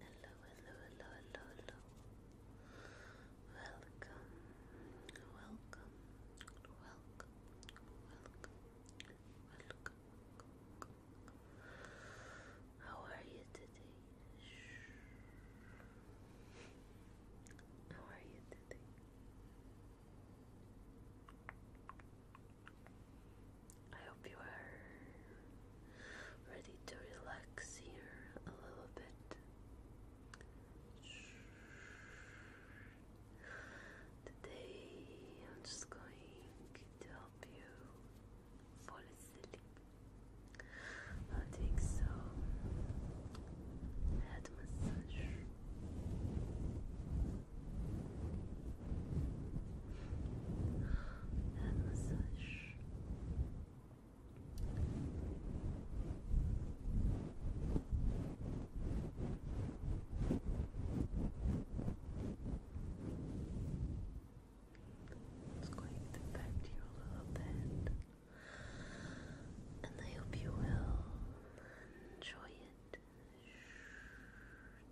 hello, hello, hello, hello, hello. Welcome, welcome, welcome, welcome, welcome. How are you today? How are you today? I hope you are ready to relax here a little bit. Today I'm just going to help you fall asleep. I'll take some head massage. That massage. It's going to affect you a little bit, and I hope you will enjoy it.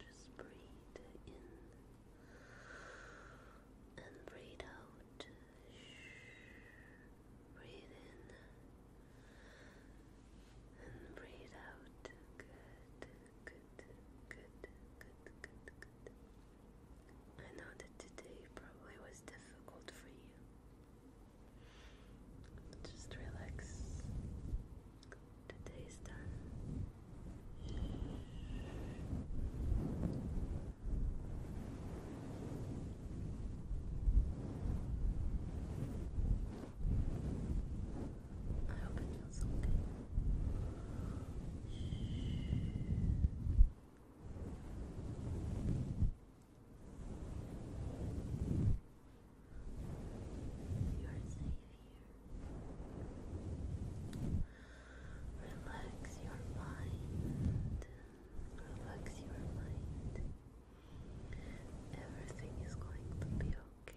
Just breathe in and breathe out. Breathe in and breathe out. Good, good, good, good, good, good. I know that today probably was difficult for you. Just relax. Today's done. I hope it feels okay. Relax. You are safe here. Relax your mind. Relax your mind. Everything is going to be okay.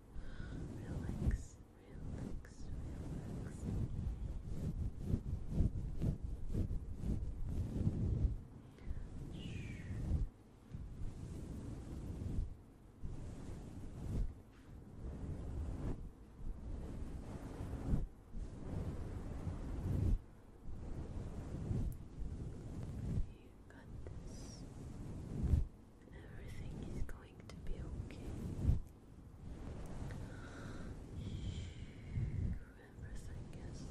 Relax, relax, relax. Shh. You got this. Everything is going to be okay. Everything is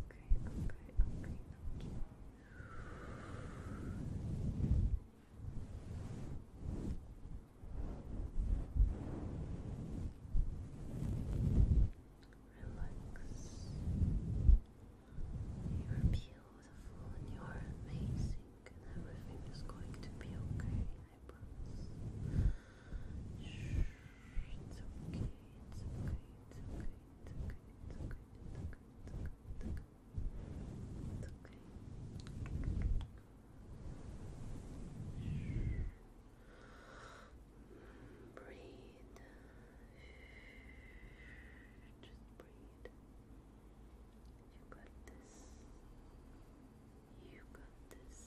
going to be okay, okay, okay, okay relax. You're beautiful you're amazing, and everything is going to be okay, it's okay, it's okay, it's okay, it's okay, it's okay, it's okay, it's okay, Breathe. Just breathe. You got this. You got this.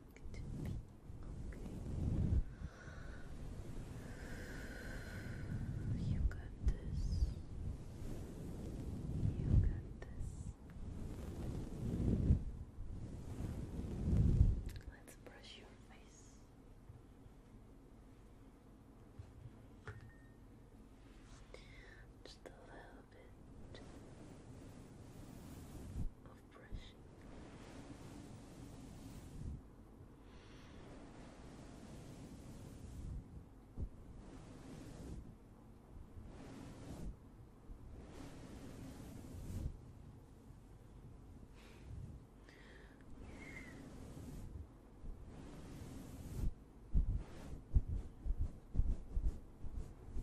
to You got this. You got this. Let's brush your face. Just a little bit off brush.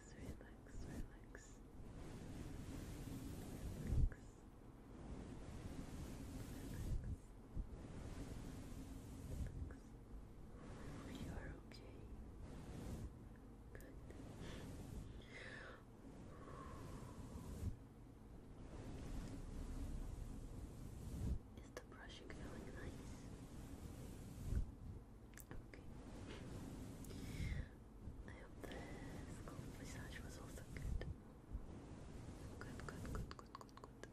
relax, relax. Relax. Relax. You are okay. Good. Is the brushing feeling nice? Okay. I hope this cold massage was also good. Good, good, good, good, good, good.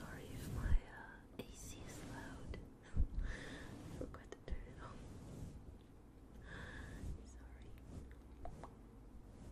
sorry if my uh, AC is loud. forgot to turn it off. Sorry.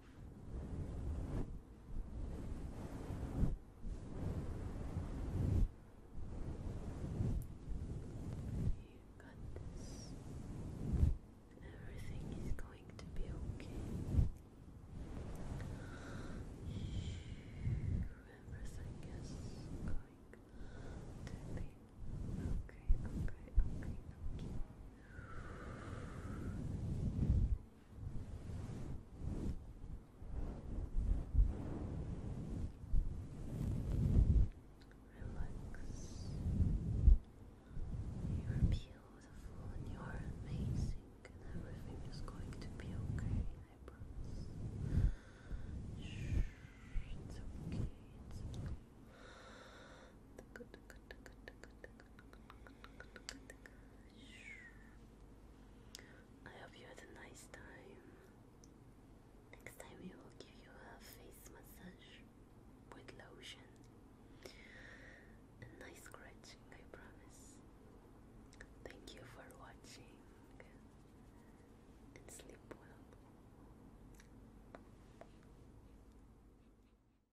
You got this. Everything is going to be okay. Everything is going to be okay, okay, okay, okay. Relax. You're beautiful and you're amazing, and everything is going to be okay, I promise. Shh, it's okay, it's okay. The good I hope you had a nice time. Next time we will give you a face massage with lotion. A nice scratching, I promise. Thank you for watching and sleep well.